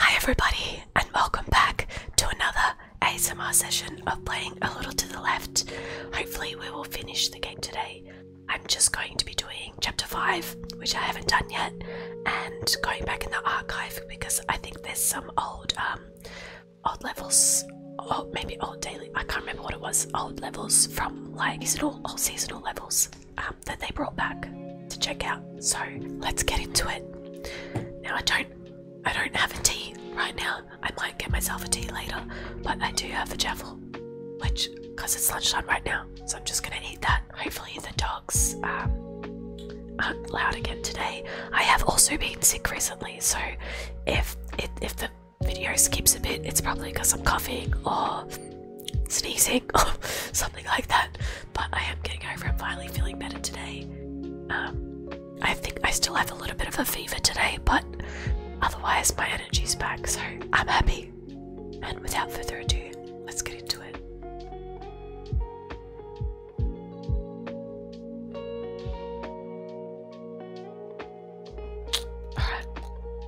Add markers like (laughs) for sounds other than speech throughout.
Hi everybody and welcome back to another ASMR session of playing a little to the left. Hopefully we will finish the game today. I'm just going to be doing chapter 5 which I haven't done yet and going back in the archive because I think there's some old um old levels or maybe old daily I can't remember what it was old levels from like is it all, old seasonal levels um, that they brought back to check out. So let's get into it. Now I don't I don't have a tea right now. I might get myself a tea later, but I do have a javel, which because it's lunchtime right now, so I'm just gonna eat that. Hopefully the dogs um, aren't loud again today. I have also been sick recently, so if it, if the video skips a bit, it's probably because I'm coughing or sneezing (laughs) or something like that but I am getting over it. Finally, feeling better today. Um, I think I still have a little bit of a fever today, but otherwise my energy's back, so I'm happy. And without further ado, let's get into it. Alright,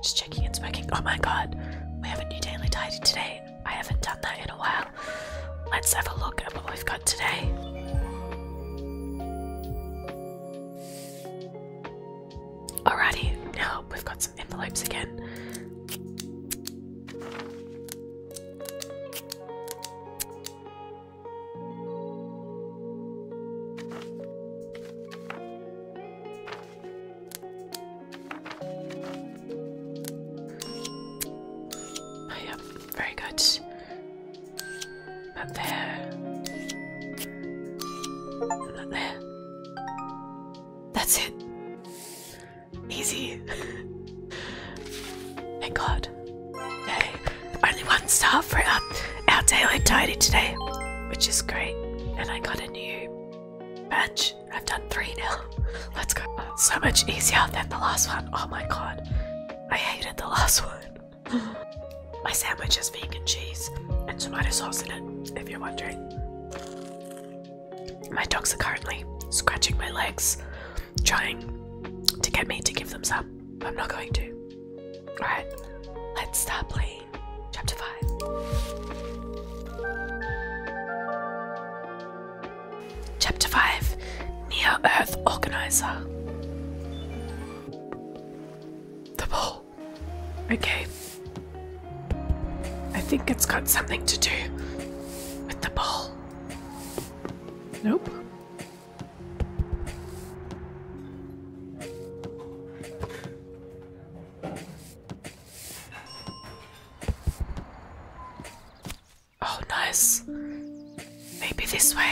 just checking and working. Oh my god, we have a new daily tidy today. I haven't done that in a while. Let's have a look at what we've got today. Alrighty, now we've got some envelopes again. Oh, yep, very good. That there. That there. That's it. Easy. (laughs) Thank God. only one star for our, our daily tidy today, which is great. And I got a new badge. I've done three now. (laughs) Let's go. So much easier than the last one. Oh my god. I hated the last one. (laughs) my sandwich is vegan cheese and tomato sauce in it, if you're wondering. My dogs are currently scratching my legs, trying to get me to give them some, I'm not going to. Alright, let's start playing chapter 5. Chapter 5 Near Earth Organizer The Ball. Okay. I think it's got something to do with the ball. Nope. Oh, nice. Maybe this way. (laughs)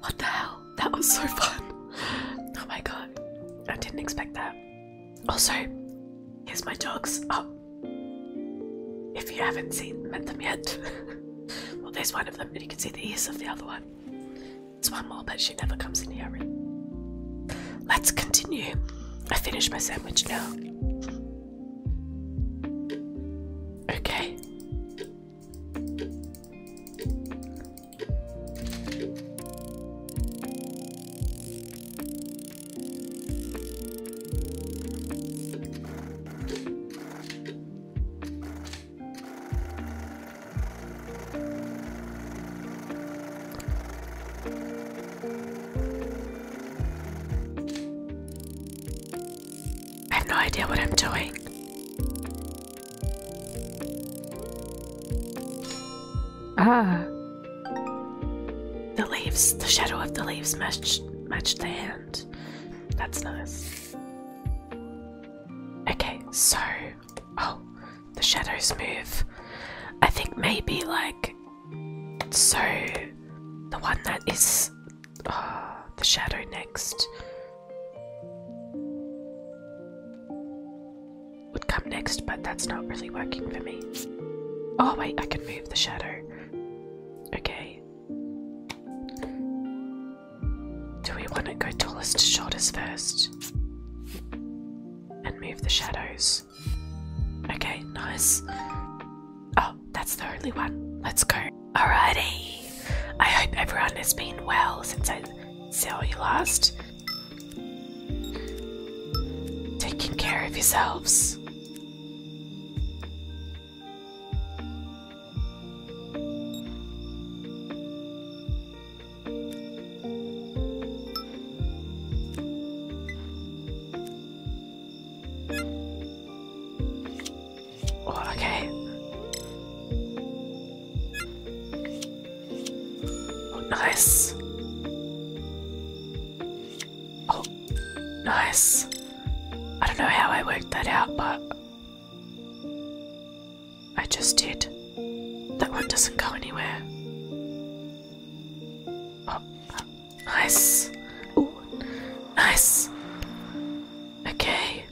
what the hell? That was so fun. Oh my god. I didn't expect that. Also, here's my dogs. Oh. If you haven't seen them yet. (laughs) well, there's one of them, and you can see the ears of the other one. It's one more, but she never comes in here. Let's continue. I finished my sandwich now. Okay. I have no idea what I'm doing. Ah. The leaves, the shadow of the leaves matched matched the hand. That's nice. Okay, so Oh, the shadows move. I think maybe like so the one that is ah, the shadow next would come next, but that's not really working for me. Oh wait, I can move the shadow. Okay. Do we want to go tallest to shortest first? And move the shadows. Okay, nice. Oh, that's the only one. Let's go. Alrighty. I hope everyone has been well since I saw you last. Taking care of yourselves. Oh, okay. Oh, nice. Oh, nice. I don't know how I worked that out, but I just did. That one doesn't go anywhere. Oh, nice. Ooh, nice. Okay.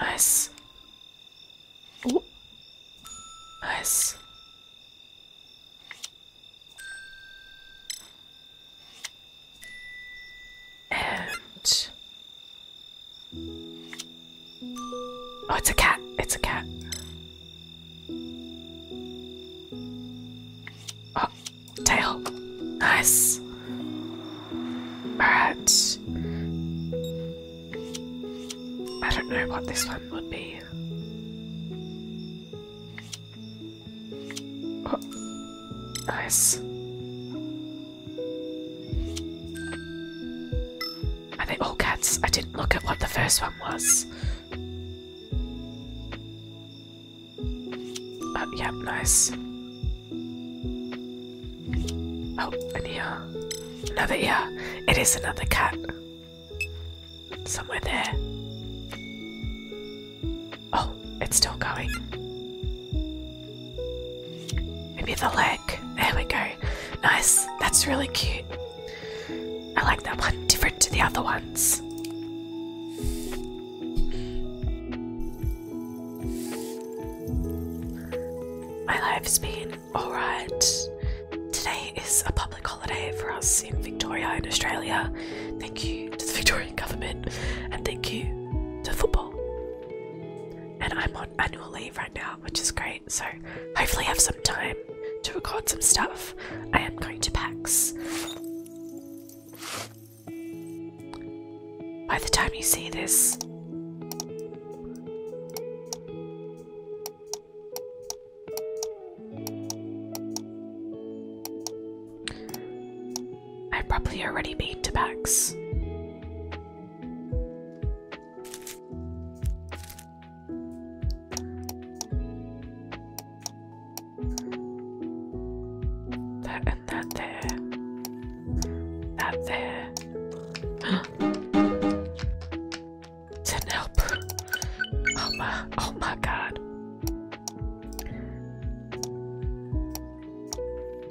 Nice. Ooh. Nice. And oh, it's a cat. It's a cat. Oh, tail. Nice. All right. I don't know what this one would be. Oh, nice. Are they all cats? I didn't look at what the first one was. Oh, yeah, nice. Oh, an ear. Another ear. It is another cat. Somewhere there. Oh, it's still going. Maybe the leg. There we go. Nice. That's really cute. I like that one. Different to the other ones. My life's been alright. Today is a public holiday for us in Victoria and Australia. Thank you to the Victorian government and thank you to football. And I'm on annual leave right now, which is great. So hopefully I have some time to record some stuff. I am going to PAX. By the time you see this, I've probably already made Tabax. That and there. That there. Didn't (gasps) help. Oh my, oh my god.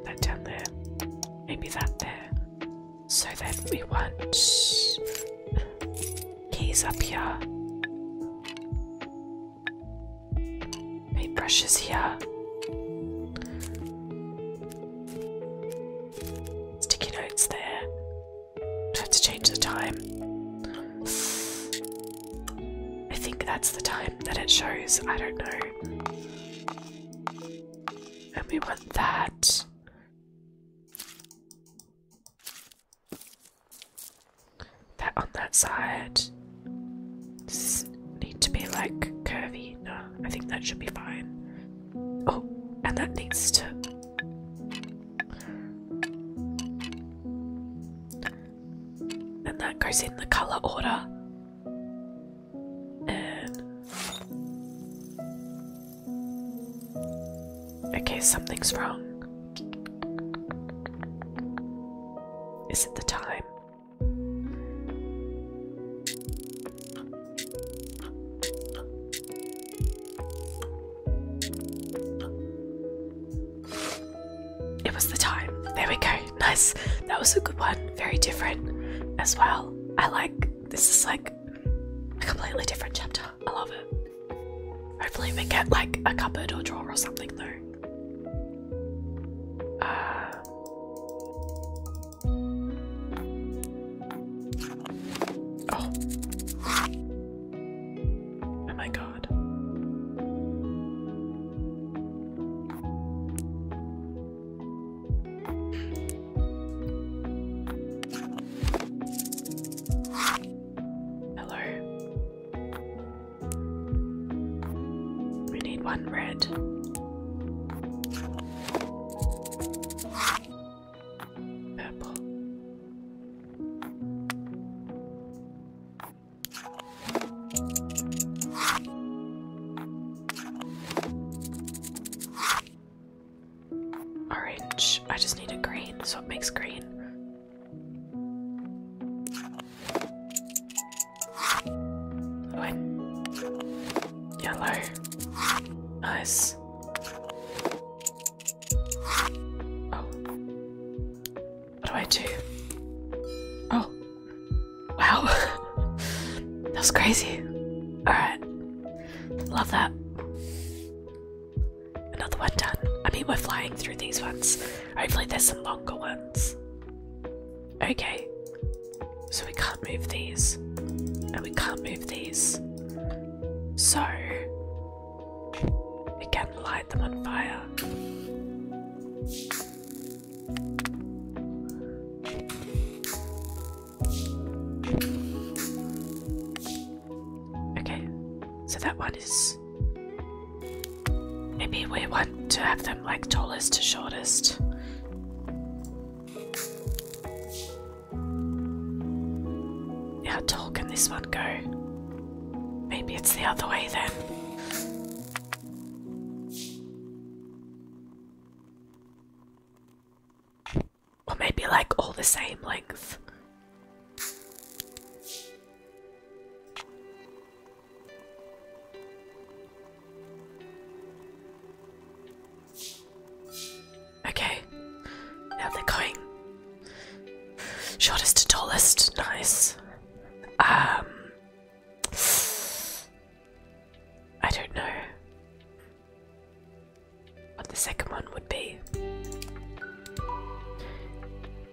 That down there. Maybe that there. So then we want keys up here. Paintbrushes here. Sticky notes there. Try to change the time. I think that's the time that it shows. I don't know. And we want that. That on that side. Does need to be like curvy? No, I think that should be fine. Oh, and that needs to. And that goes in the colour order. And okay, something's wrong. Is it the time? it was the time. There we go. Nice. That was a good one. Very different as well. I like this is like a completely different chapter. I love it. Hopefully we get like a cupboard or drawer or something though. Uh, oh. oh my god. Hello. We need one red. Purple. Orange. I just need a green, so it makes green. What? Yellow. Nice. Oh. What do I do? Oh. Wow. (laughs) that was crazy. Alright. Love that. Another one done. I mean, we're flying through these ones. Hopefully, there's some longer ones. Okay. So we can't move these. And we can't move these. So. We can not light them on fire. Okay, so that one is. Maybe we want to have them like tallest to shortest. How tall can this one go? Maybe it's the other way then. Or maybe like all the same length. Okay, now they're going shortest to tallest. Nice. Um, I don't know what the second one would be.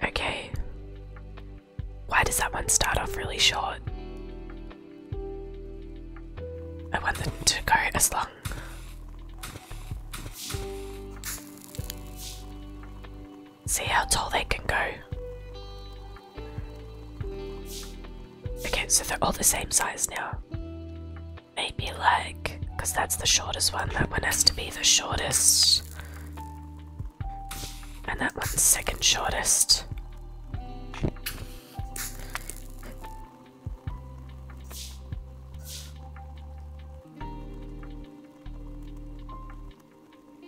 Okay. Why does that one start off really short? I want them to go as long. See how tall they can go. Okay, so they're all the same size now. Maybe like, because that's the shortest one, that one has to be the shortest. And that one's second shortest.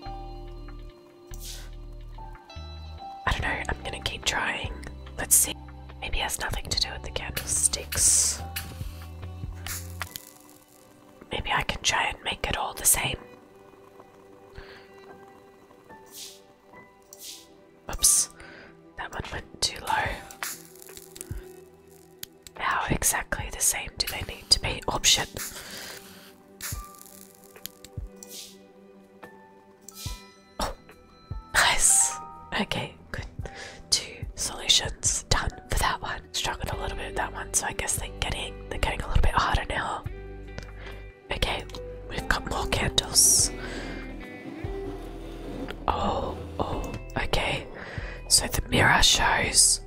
I don't know, I'm gonna keep trying. Let's see. Maybe it has nothing to do with the candlesticks. Maybe I can try and make it all the same. Oops, that one went too low. How exactly the same do they need to be? Option. Oh, nice. Okay, good. Two solutions done for that one. Struggled a little bit with that one, so I guess they're getting they're getting a little bit harder now. Okay, we've got more candles. Oh, oh, okay. So the mirror shows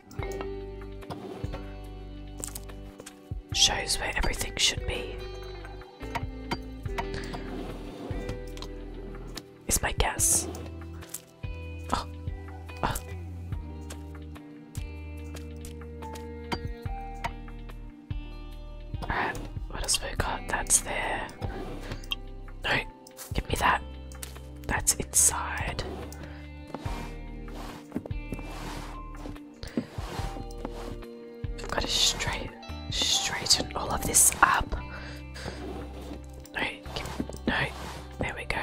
shows where everything should be. Is my guess. Oh. oh. what else we got? That's there. No, give me that. That's inside. I've got to straighten all of this up. No, no, there we go.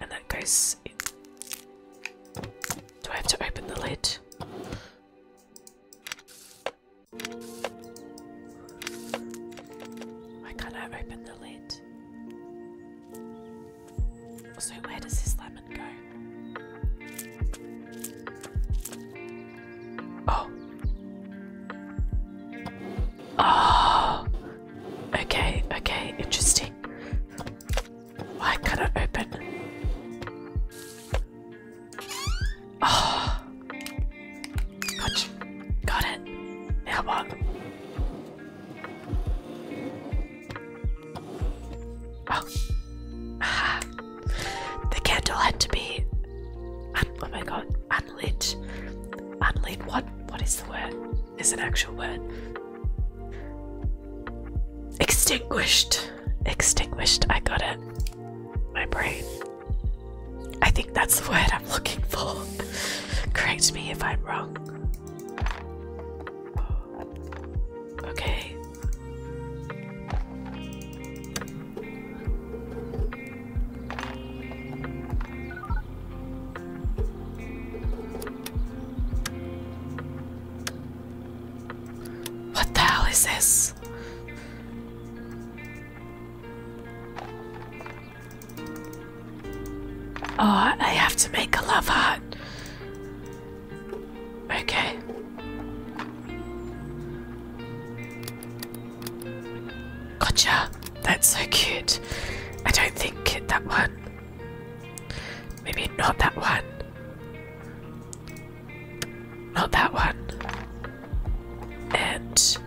And that goes Do I have to open the lid? Why can't open the lid? So, where does this lemon go? Oh. Oh. Okay, okay, interesting. Why can't I open? Oh. Gotcha. Got it. Now Oh. (sighs) the candle had to be. oh my god, unlit. Unlit. What? What is the word? Is an actual word. Extinguished. Extinguished. I got it. My brain. I think that's the word I'm looking for. (laughs) Correct me if I'm wrong. Okay. What the hell is this? Oh, I have to make a love heart. Okay. Gotcha. That's so cute. I don't think that one. Maybe not that one. Not that one. And.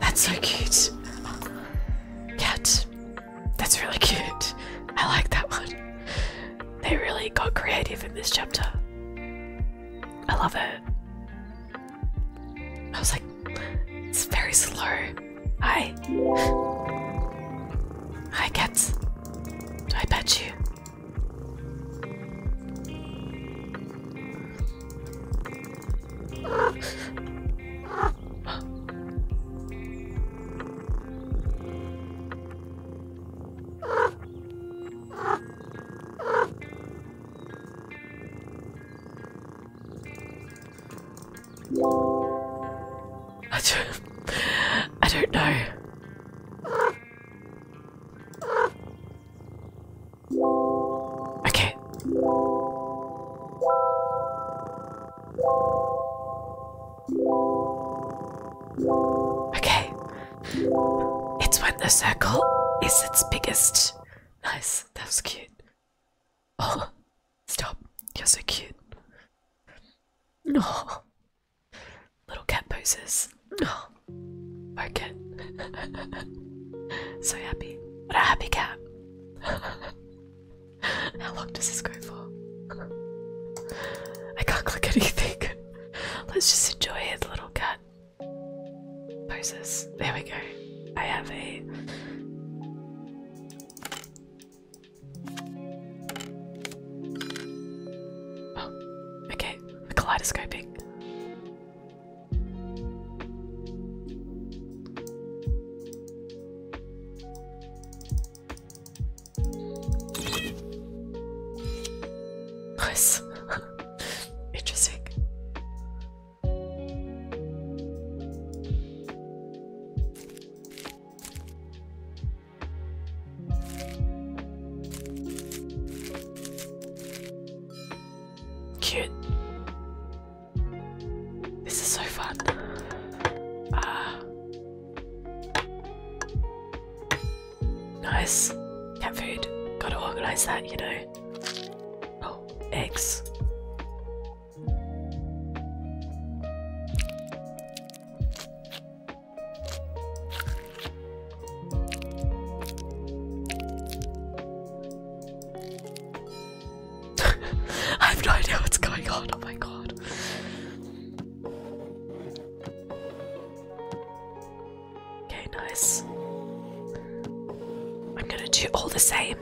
That's so cute. Cat, That's really cute. I like that one. They really got creative in this chapter. I love it. I was like, it's very slow. Hi. Hi, cats. Do I pet you? I don't, I don't know. Okay. Okay. It's when the circle is its biggest. Nice. That was cute. Oh, stop. You're so cute. No. Little cat poses. No. Oh. (laughs) Okay. so happy. What a happy cat. (laughs) How long does this go for? I can't click anything. (laughs) Let's just enjoy it, little cat. Poses. There we go. I have a. Oh, (gasps) okay. We're kaleidoscoping. Nice. Interesting. Cute. This is so fun. Ah. Nice. Cat food. Gotta organize that, you know. Oh, eggs. (laughs) I have no idea what's going on. Oh my god. Okay, nice. I'm gonna do all the same.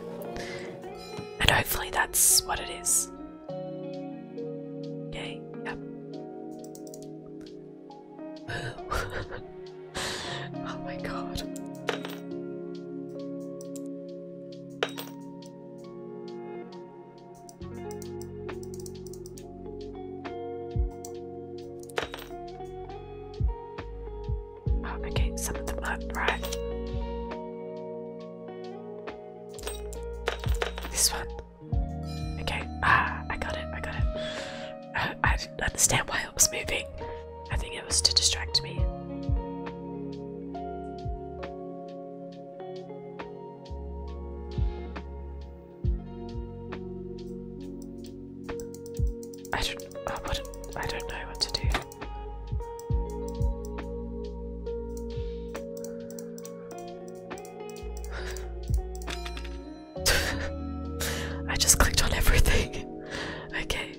And hopefully that's what it is. Okay, yep. (laughs) (laughs) oh my god. Oh, okay, some of them look right. This one. Okay, ah, I got it, I got it. I, uh, I didn't understand why it was moving. I think it was to distract me. I don't. I uh, I don't know what to do. (laughs) I just clicked on everything. (laughs) Okay.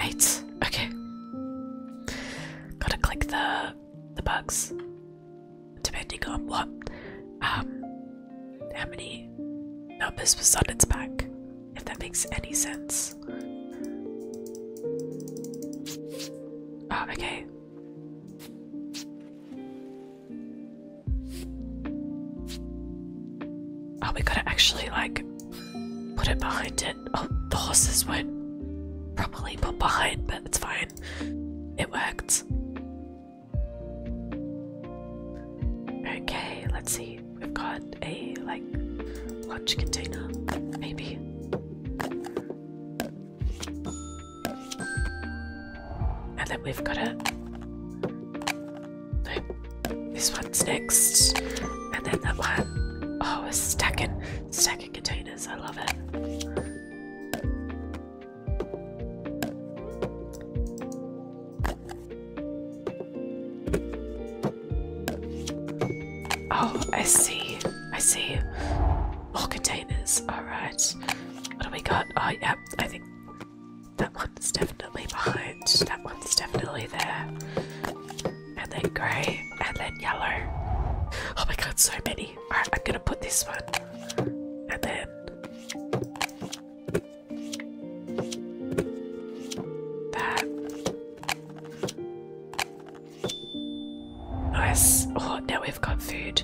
Eight. Okay. Gotta click the the bugs. Depending on what um how many numbers was on its back, if that makes any sense. Ah, oh, okay. Are we going to actually like put it behind it. Oh, the horses weren't properly put behind, but it's fine. It worked. Okay, let's see. We've got a like lunch container, maybe. And then we've got a no, this one's next, and then that one. Oh, it's in. Stacking containers, I love it. Oh, I see. I see. More containers. Alright. What do we got? Oh, yeah, I think that one's definitely behind. That one's definitely there and then grey, and then yellow. Oh my god, so many. Alright, I'm gonna put this one, and then. That. Nice. Oh, now we've got food.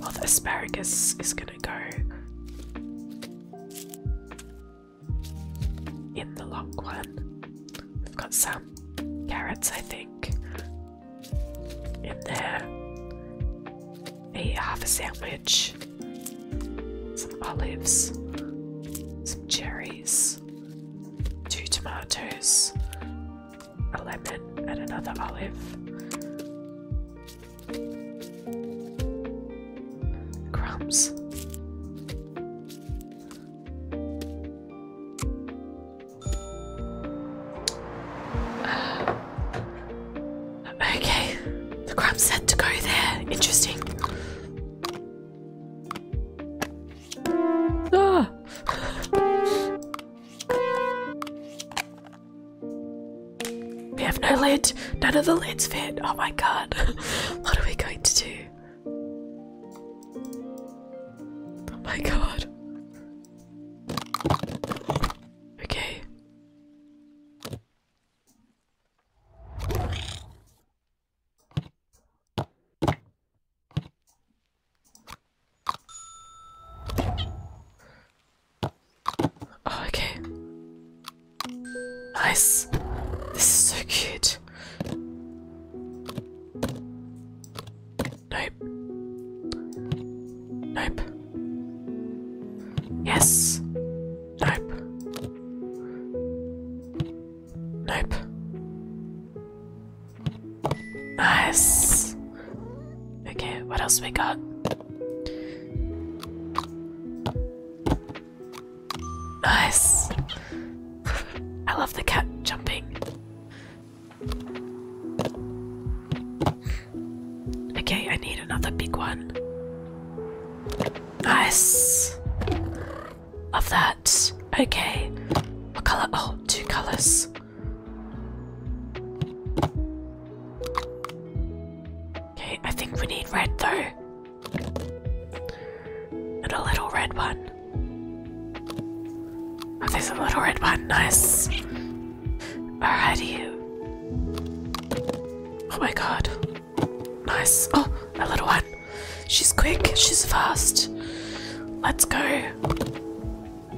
Well, oh, the asparagus is gonna go in the long one. We've got salad carrots, I think, in there. A half a sandwich, some olives, some cherries, two tomatoes, a lemon, and another olive. Crumbs. Okay, the crab said to go there. Interesting. Ah. We have no lid. None of the lids fit. Oh my god. (laughs) What are we going to do? Oh my god. Okay. Oh, okay. Nice. This is so cute this. Nope. Nope. Yes. Nope. Nope. Nice. Okay, what else we got? Nice. I love the cat jumping. Okay, I need another big one. Nice. Love that. Okay. What color? Oh, two colors. Okay, I think we need red though. And a little red one. Oh, there's a little red one. Nice. Alrighty. Oh my god. Nice. Oh, a little one. She's quick. She's fast. Let's go.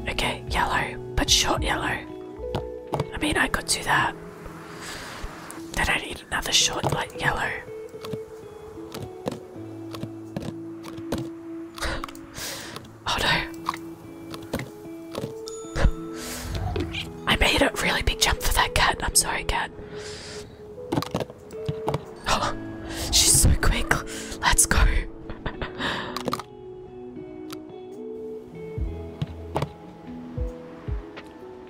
Okay, yellow. But short yellow. I mean, I could do that. Then I need another short, light yellow. (gasps) oh no. I made a really big jump for that cat. I'm sorry, cat. (gasps) Oh, she's so quick. Let's go. (laughs)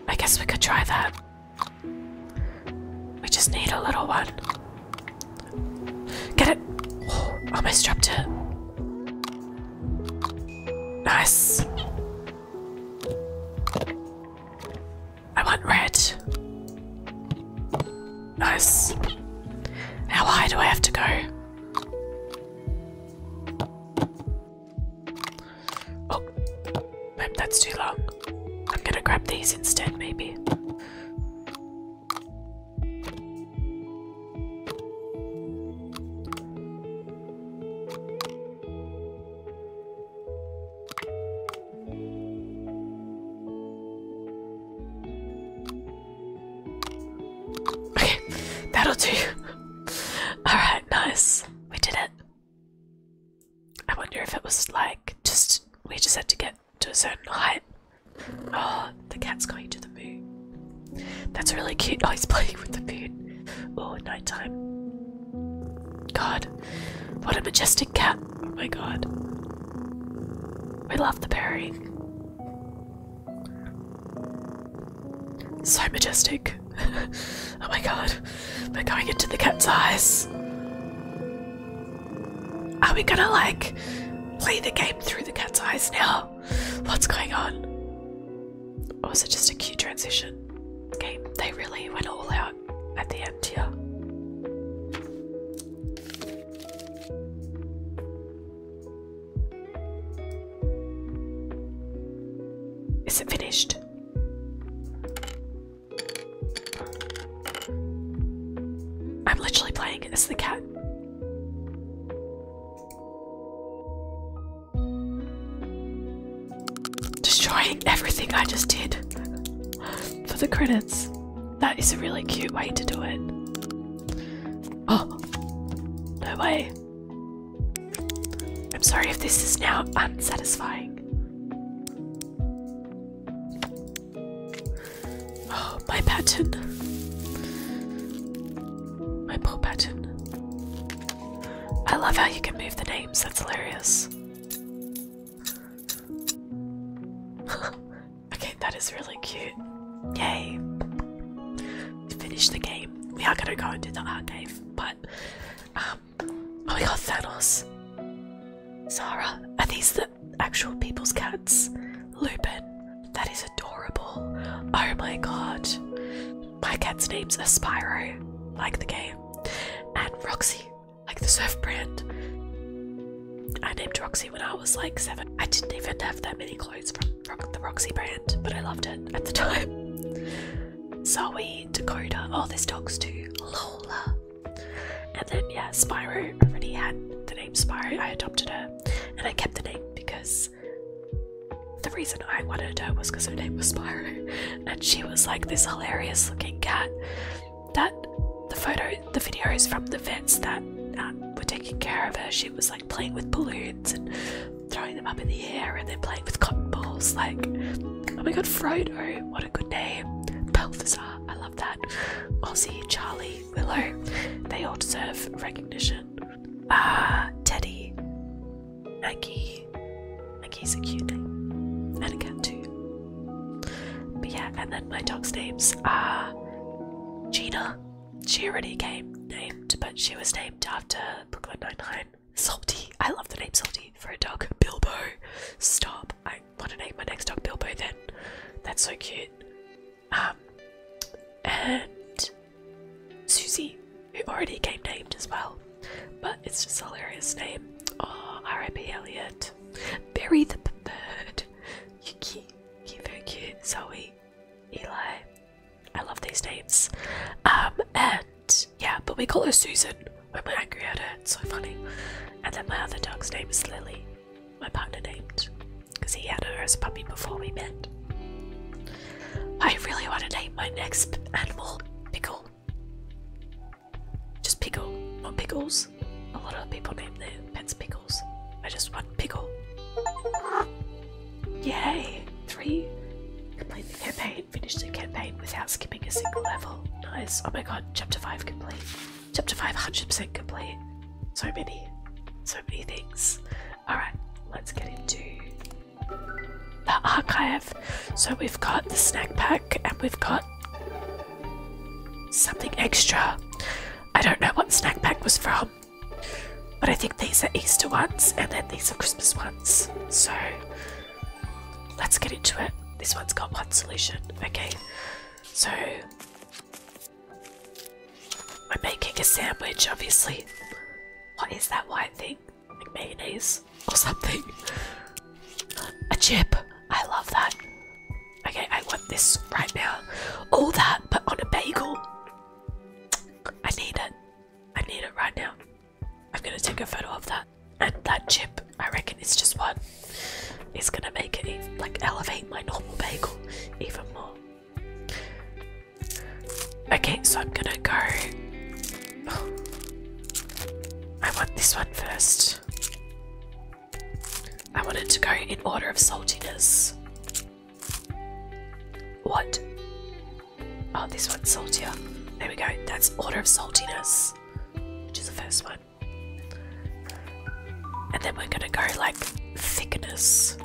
I guess we could try that. We just need a little one. Get it! (gasps) Oh, almost dropped it. Nice. I want red. Nice. How high do I have to go? Oh. Nope, that's too long. I'm gonna grab these instead, maybe. Okay, that'll do. (laughs) Alright, nice. We did it. I wonder if it was like just we just had to get to a certain height. Oh, the cat's going to the moon. That's really cute. Oh, he's playing with the moon. Oh, nighttime. God, what a majestic cat. Oh my god. We love the pairing. So majestic. (laughs) oh my god. We're going into the cat's eyes. Are we gonna like play the game through the cat's eyes now? What's going on? Or was it just a cute transition game? They really went all out at the end here. Is it finished? I'm literally playing as the cat. Destroying everything I just did for the credits. That is a really cute way to do it. Oh, no way. I'm sorry if this is now unsatisfying. Oh, (gasps) my pattern. My poor pattern. I love how you can move the names, that's hilarious. (laughs) okay, that is really cute. Yay. finished the game. We are gonna go into the art cave, but um, Oh, my God, Thanos. Zara. Are these the actual people's cats? Lupin. That is adorable. Oh my god. My cat's names are like the game, and Roxy, like the surf brand. I named Roxy when I was like seven. I didn't even have that many clothes from, the Roxy brand, but I loved it at the (laughs) time. Zoe, Dakota, oh, this dogs too. Lola, and then yeah, Spyro already had the name Spyro. I adopted her, and I kept the name because the reason I wanted her was because her name was Spyro, and she was like this hilarious-looking cat. That the photo, the videos from the vets that um, were taking care of her, she was like playing with balloons and throwing them up in the air, and then playing with cotton balls. Like, oh my god, Frodo! What a good name! Balthazar I love that. Ozzy, Charlie, Willow. They all deserve recognition. Ah, Teddy, Maggie. Maggie's a cute name. And a cat too. But yeah, and then my dog's names are Gina. She already came named, but she was named after Brooklyn Nine-Nine. Salty. I love the name Salty for a dog. Bilbo, stop. I want to name my next dog Bilbo then. That's so cute. Um, and Susie, who already came named as well, but it's just a hilarious name. Oh, R.I.P. Elliot. Bury the bird. you you very cute. Zoe, Eli. I love these names. Um, and yeah, but we call her Susan when we're angry at her, it's so funny. And then my other dog's name is Lily. My partner named, because he had her as a puppy before we met. I really want to name my next animal Pickle. Just Pickle, not Pickles. A lot of people name their pets Pickles. I just want Pickle. Yay! Three. Complete the campaign. Finish the campaign without skipping a single level. Nice. Oh my god chapter 5 complete. Chapter five, hundred percent complete. So many, so many things. Alright, let's get into the archive. So we've got the snack pack and we've got something extra. I don't know what snack pack was from, but I think these are Easter ones and then these are Christmas ones. So Let's get into it. This one's got one solution. Okay, so I'm making a sandwich, obviously. What is that white thing? mayonnaise or something? A chip. I love that. Okay, I want this right now. All that, but on a bagel. I need it. I need it right now. I'm gonna take a photo of that and that chip, I reckon it's just one, is gonna make it like elevate my normal bagel even more. Okay, so I'm gonna go. (sighs) I want this one first. I want it to go in order of saltiness. What? Oh, this one's saltier. There we go. That's order of saltiness, which is the first one. And then we're gonna go like thickness.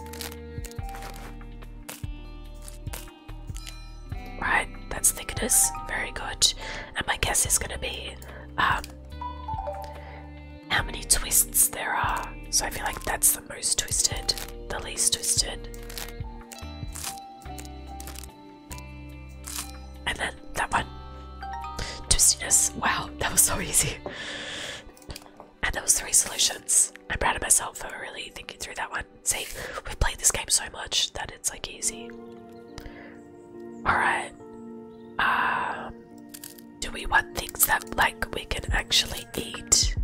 Right, that's thickness. Very good. And my guess is gonna be um how many twists there are. So I feel like that's the most twisted, the least twisted. And then that one. Twistiness. Wow, that was so easy. And those three solutions. I'm proud of myself for really thinking through that one. See, we've played this game so much that it's like easy. Alright. Um, do we want things that like we can actually eat?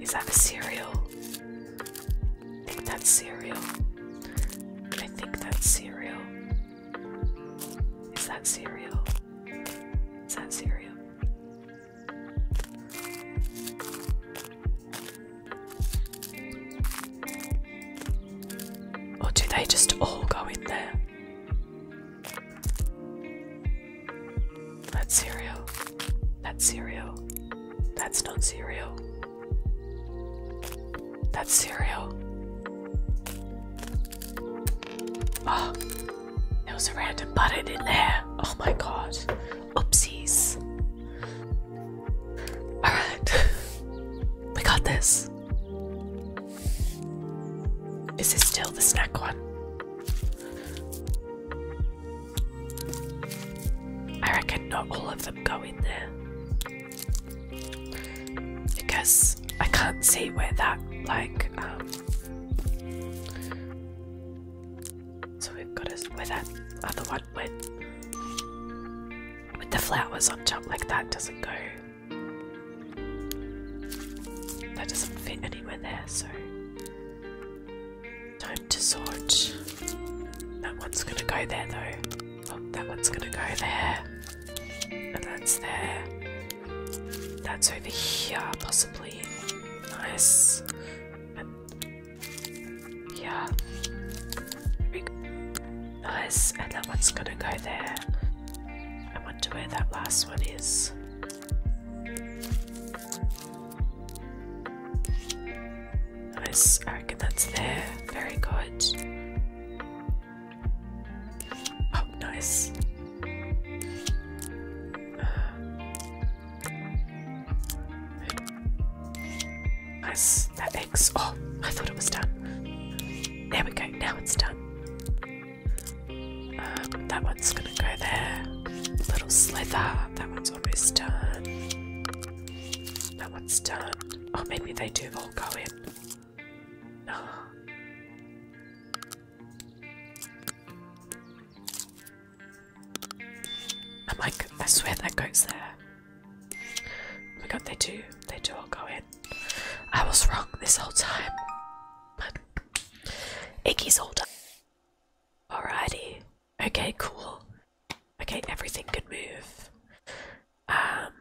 Is that a cereal? I think that's cereal. I think that's cereal. Is that cereal? Is that cereal? Or do they just all go in there? That's cereal. That's cereal. That's not cereal. That's cereal. Oh, there was a random button in there. Oh my god. Oopsies. Alright. (laughs) we got this. Is this still the snack one? I reckon not all of them go in there because I can't see where that like um, so we've got us where that other one with with the flowers on top like that doesn't go that doesn't fit anywhere there so time to sort that one's gonna go there though that one's gonna go there. And that's there. That's over here, possibly. Nice. yeah. Nice. And that one's gonna go there. I wonder where that last one is. Nice, I reckon that's there. Very good. Oh, nice. Uh, nice, that eggs. Oh, I thought it was done. There we go, now it's done. Um, that one's gonna go there. Little slither, that one's almost done. That one's done. Oh, maybe they do all go in. Oh. I'm like, I swear that goes there. Oh my god, they do. They do all go in. I was wrong this whole time. Iggy's Icky's all done. Alrighty. Okay, cool. Okay, everything could move. Um,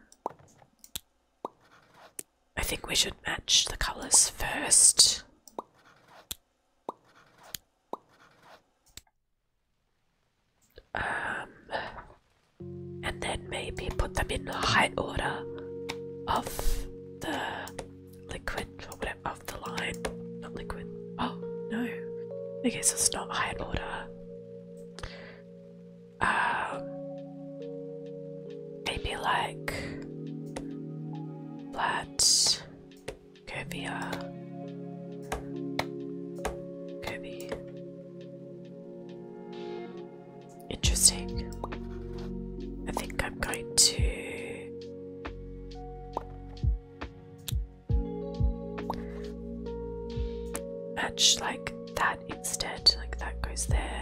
I think we should match the colours first. Um, and then maybe put them in the height order of the liquid or whatever of the line. Not liquid. Oh no. I guess it's not height order uh, maybe like let's go via Kirby. Interesting. I think I'm going to match like that instead like that goes there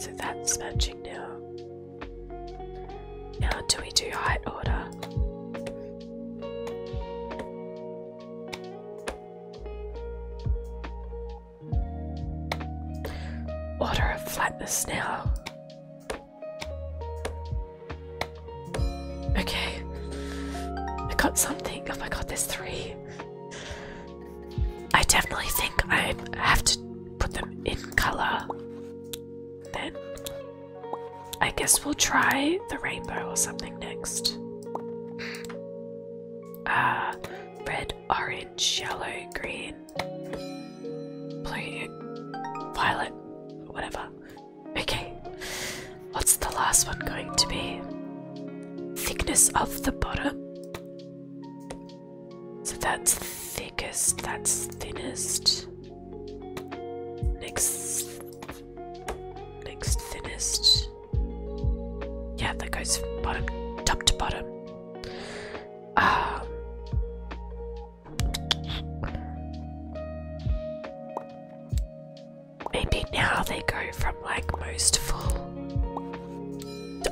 So that's matching now. Now, do we do height order? Order of flatness now. Okay, I got something. Oh my god, there's three. I definitely think I have to put them in color. Then I guess we'll try the rainbow or something next. Uh, red, orange, yellow, green, blue, violet, whatever. Okay, what's the last one going to be? Thickness of the bottom. So that's thickest, that's thinnest. Next, next thinnest. Yeah, that goes bottom, top to bottom. Um, maybe now they go from like most full.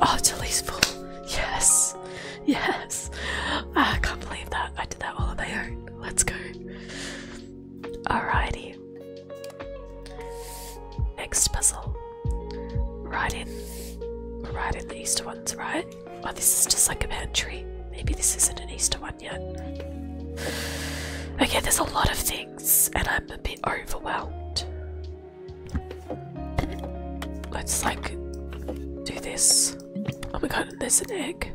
Oh, to least full. Yes, yes. Ah, I can't believe that I did that all on my Let's go. Alrighty. Next puzzle. Right in. Right in the Easter ones, right? Oh, this is just like a pantry. Maybe this isn't an Easter one yet. Okay, there's a lot of things, and I'm a bit overwhelmed. Let's like do this. Oh my god, there's an egg.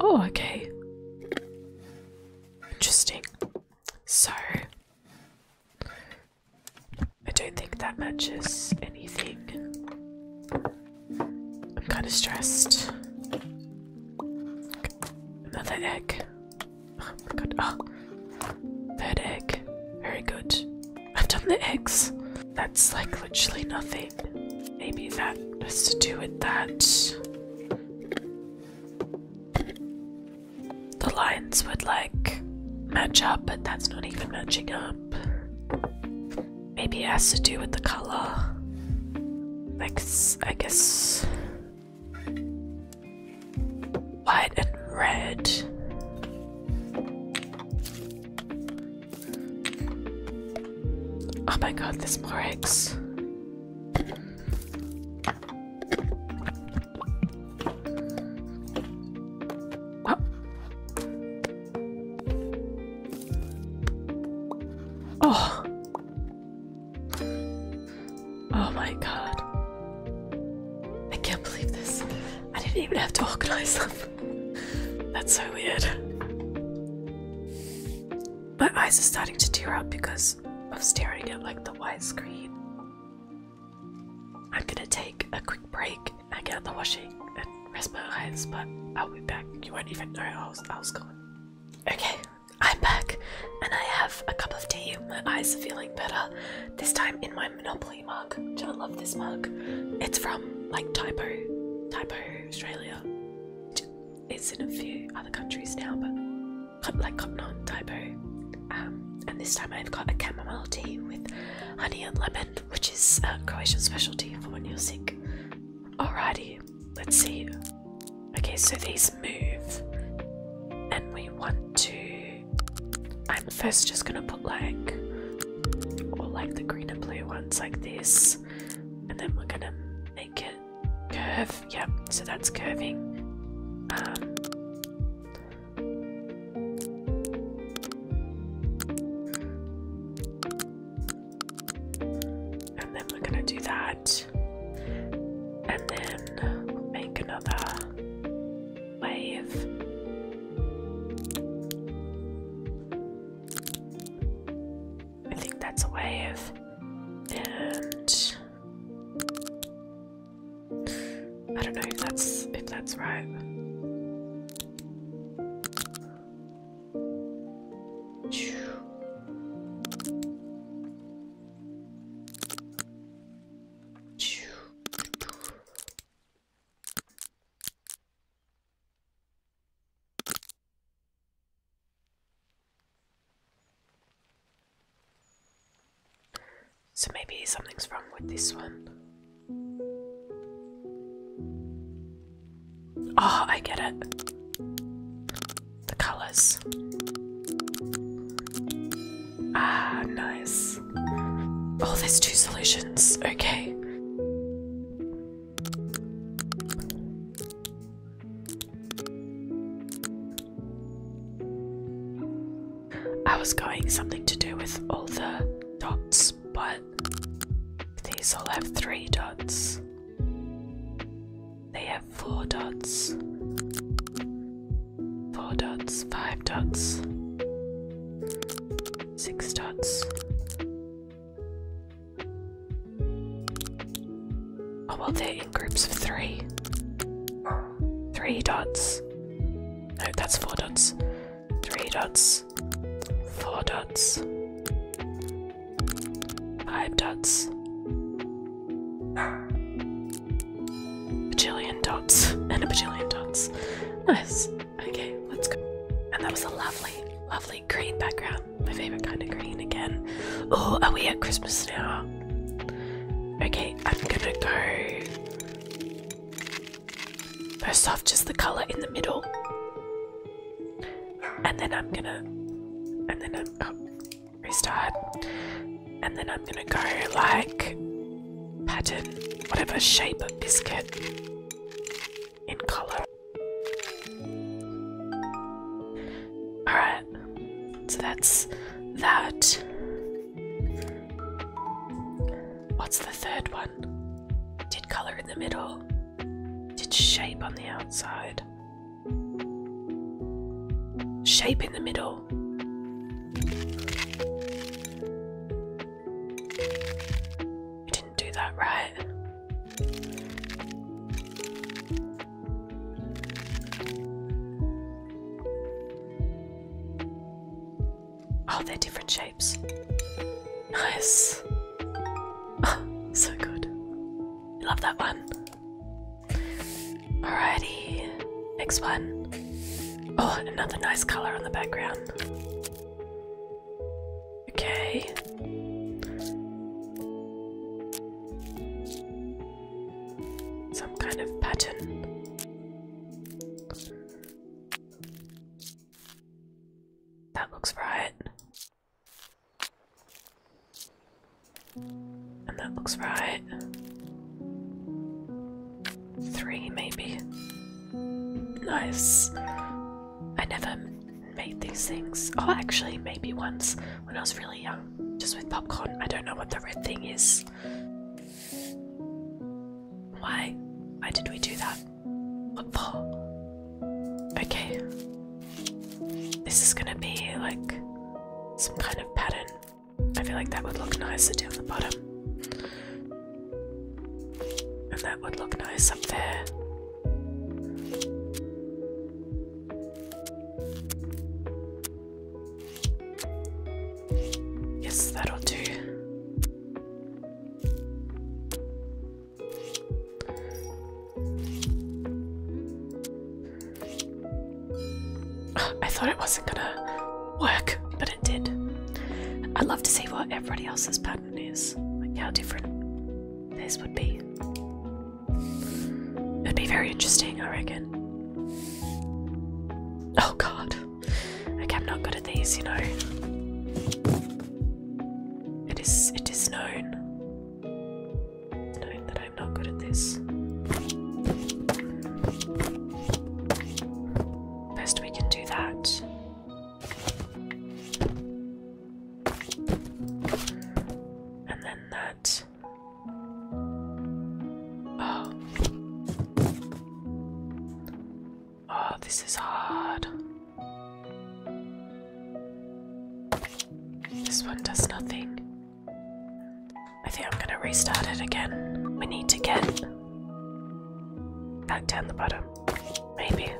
Oh, okay. Interesting. So, I don't think that matches anything. I'm kind of stressed. Another egg. Oh my god. Oh. That egg. Very good. I've done the eggs. That's like literally nothing. Maybe that has to do with that. The lines would like match up, but that's not even matching up. Maybe it has to do with the color. Like, I guess white and red. Oh my god, there's more eggs. Oh. oh. Oh my god. I can't believe this. I didn't even have to organize them. That's so weird. My eyes are starting to tear up because of staring at like the white screen. I'm gonna take a quick break and get out the washing and rest my eyes, but I'll be back. You were not even know I was, I was gone. Okay, I'm back and I have a cup of tea. My eyes are feeling better, this time in my Monopoly lovely mug. Joe loved this mug. It's from like Typo, Typo Australia. It's in a few other countries now, but like Cotton On, Typo. Um, and this time I've got a chamomile tea with honey and lemon, which is a Croatian specialty for when you're sick. Alrighty, let's see. Okay, so these move, and we want to I'm first just gonna put like, or like the green and blue ones like this, and then we're gonna make it curve. Yep, so that's curving. Um, and then we're gonna do that, and then make another wave. I think that's a wave. And I don't know if that's if that's right. So maybe something's wrong with this one. Oh, I get it. The colours. Ah, nice. Oh, there's two solutions. Okay. I was going something to do with all the dots, but these all have three dots. They have four dots four dots, five dots, six dots. Oh, well, they're in groups of three. Three dots. No, that's four dots. Three dots, four dots, five dots. A Bajillion dots and a bajillion dots. Nice. Okay, let's go. And that was a lovely, lovely green background. My favorite kind of green again. Oh, are we at Christmas now? Okay, I'm gonna go. First off, just the color in the middle. And then I'm gonna. And then I'm. Oh, restart and then I'm gonna go like pattern, whatever shape of biscuit in color. Alright, so that's that. What's the third one? Did color in the middle, did shape on the outside. Shape in the middle. I didn't do that right. Oh, they're different shapes. Nice. Oh, (laughs) so good. Love that one. Alrighty, next one. Oh, another nice color on the background. Okay. Some kind of pattern. That looks right. And that looks right three maybe. Nice. I never made these things. Oh, actually, maybe once when I was really young, just with popcorn. I don't know what the red thing is. Why? Why did we do that? What for? Okay. This is gonna be like some kind of pattern. I feel like that would look nicer down the bottom. And that would look nice up there. Yes, that'll do. (sighs) I thought it wasn't gonna work, but that did. I'd love to see what everybody else's pattern is, like how different this would be. It'd be very interesting, I reckon. Oh god. Okay, I'm not good at these, you know. It is it is known. known that I'm not good at this. Best we can do that. And then that. Oh. Oh, this is hard. This one does nothing. I think I'm gonna restart it again. We need to get back down the bottom. Maybe.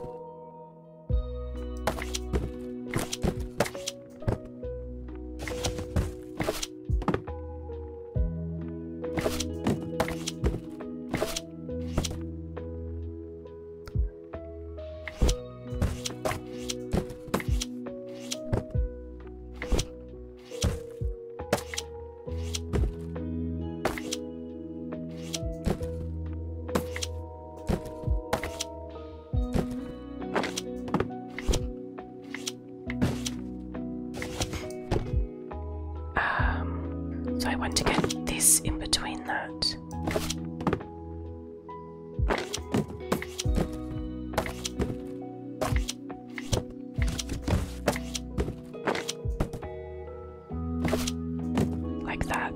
Um, so I want to get this in between that. Like that.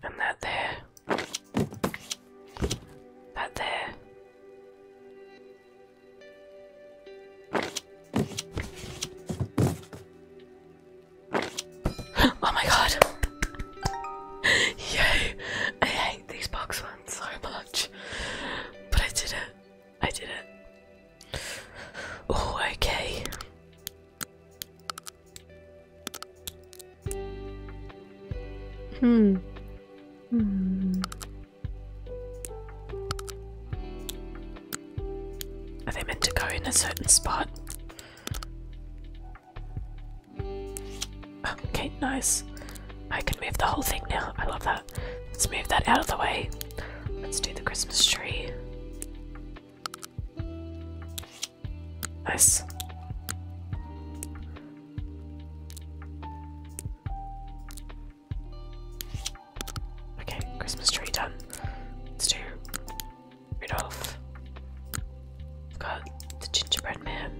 And that there. That there. Oh my god. Yay. I hate these box ones so much. But I did it. I did it. Oh, okay. Hmm. Hmm. Are they meant to go in a certain spot? Okay, nice. I can move the whole thing now. I love that. Let's move that out of the way. Let's do the Christmas tree. Nice. Okay, Christmas tree done. Let's do Rudolph. i got the gingerbread man.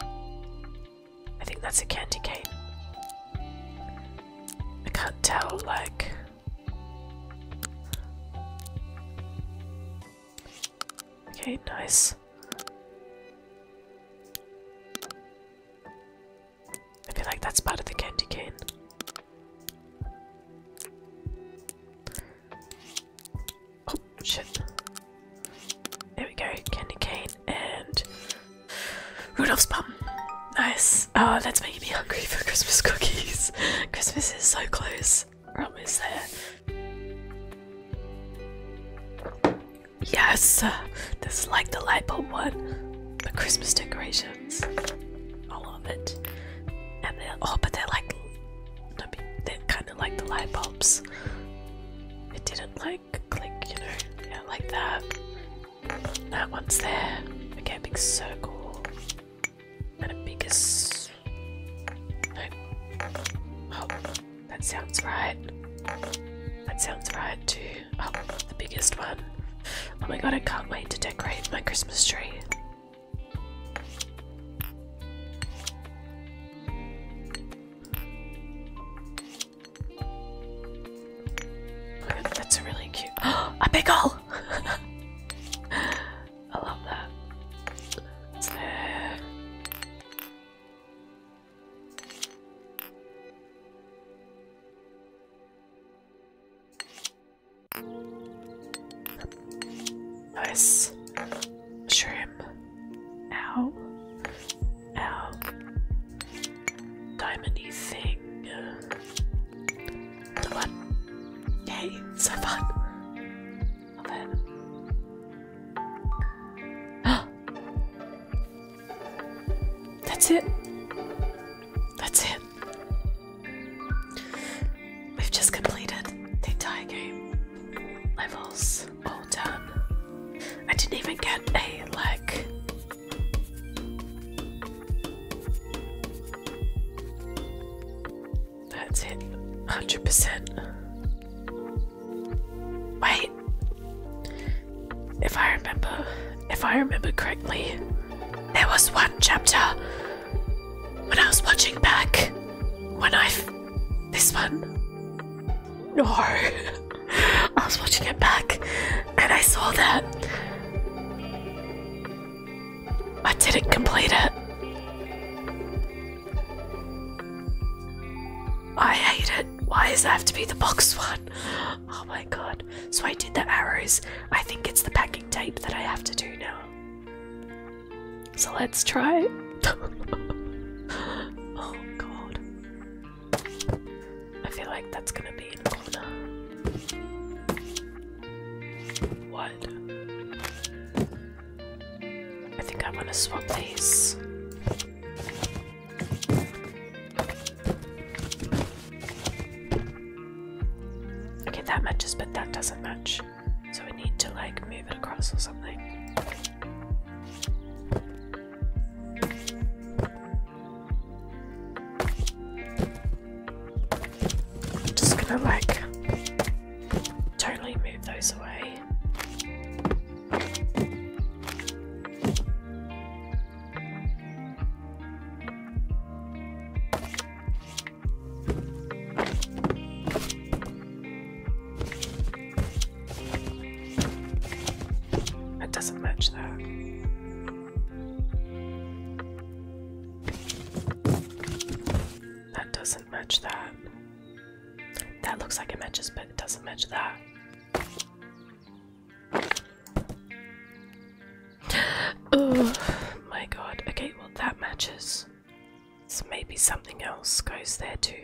I think that's a candy cane. I can't tell, like. Okay, nice. I feel like that's part of the candy cane. Oh shit. There we go, candy cane and Rudolph's bum. Nice. Oh, that's making me hungry for Christmas cookies. (laughs) Christmas is so close. We're almost there. Yes! This is like the light bulb one. The Christmas decorations. I love it. And then, oh, but they're like, they're kind of like the light bulbs. It didn't like click, you know, yeah, like that. That one's there. Okay, big circle. And a biggest. Oh, that sounds right. That sounds right too. Oh, the biggest one. Oh my god, I can't wait to decorate my Christmas tree. that's really cute. (gasps) a pickle! (laughs) I love that. Nice. Shrimp. Ow. Ow. Diamondy thing. The one. so fun. Love (gasps) (gasps) That's it. That's it. We've just completed the entire game. Levels all done. I didn't even get a like. That's it. 100%. Wait if I remember, if I remember correctly, there was one chapter when I was watching back when I this one. No, (laughs) I was watching it back and I saw that I didn't complete it. I hate it. Why does that have to be the box one? (gasps) Oh my god. So I did the arrows. I think it's the packing tape that I have to do now. So let's try. (laughs) oh god. I feel like that's gonna be in the corner. What? I think I want to swap these. Okay, that matches, but that doesn't match. So we need to like move it across or something. just gonna like totally move those away. It doesn't match that. That doesn't match that. That looks like it matches, but it doesn't match that. (sighs) oh my god. Okay, well, that matches. So maybe something else goes there too.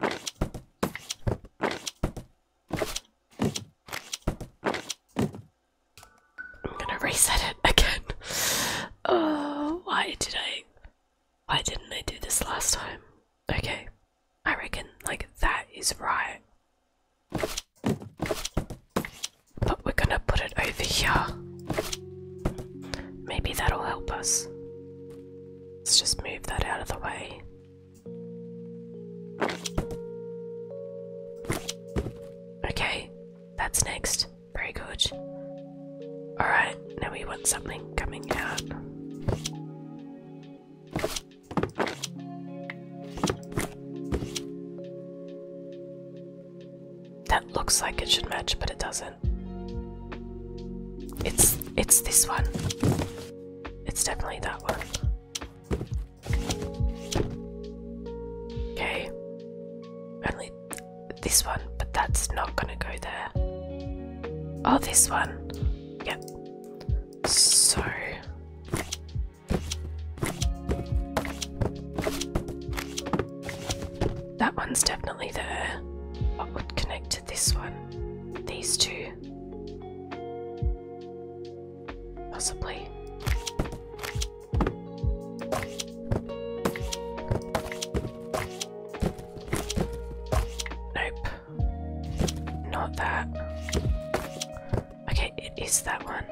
I'm gonna reset it again. (laughs) Oh, why did I? Why didn't I do this last time? Okay. I reckon, like, that is right. But we're gonna put it over here. Maybe that'll help us. Let's just move that out of the way. Okay, that's next. Very good. Alright, now we want something coming out. That looks like it should match, but it doesn't. It's it's this one. It's definitely that one. Okay. Only this one, but that's not gonna go there. Oh, this one. Yep. So. That one's definitely there. What would connect to this one? These two. Possibly. Nope. Not that. Okay, it is that one.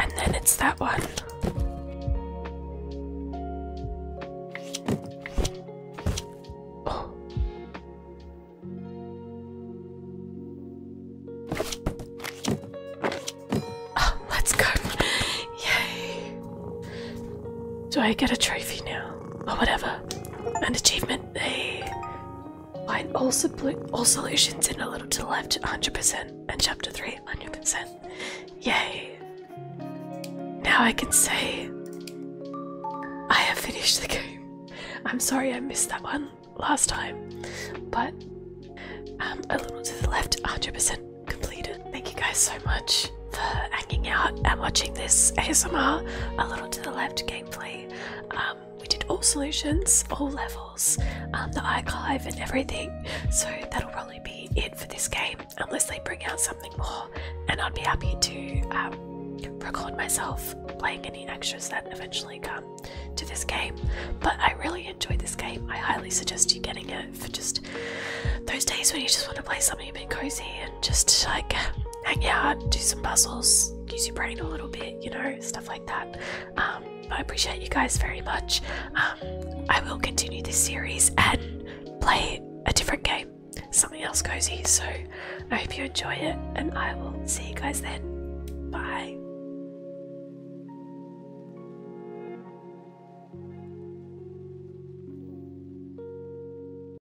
And then it's that one. Oh. oh. let's go. Yay. Do I get a trophy now? Or whatever. An achievement they find all solutions in a little to the left, 100%, and chapter 3, 100%. Yay! Now I can say I have finished the game. I'm sorry I missed that one last time, but um, a little to the left, 100% completed. Thank you guys so much for hanging out and watching this ASMR. A little the left gameplay. Um, we did all solutions, all levels, um, the archive and everything. So that'll probably be it for this game, unless they bring out something more. And I'd be happy to um, record myself playing any extras that eventually come to this game. But I really enjoy this game. I highly suggest you getting it for just those days when you just want to play something a bit cozy just like hang out, do some puzzles, use your brain a little bit, you know, stuff like that. Um, I appreciate you guys very much. Um, I will continue this series and play a different game, something else cozy. So I hope you enjoy it, and I will see you guys then. Bye.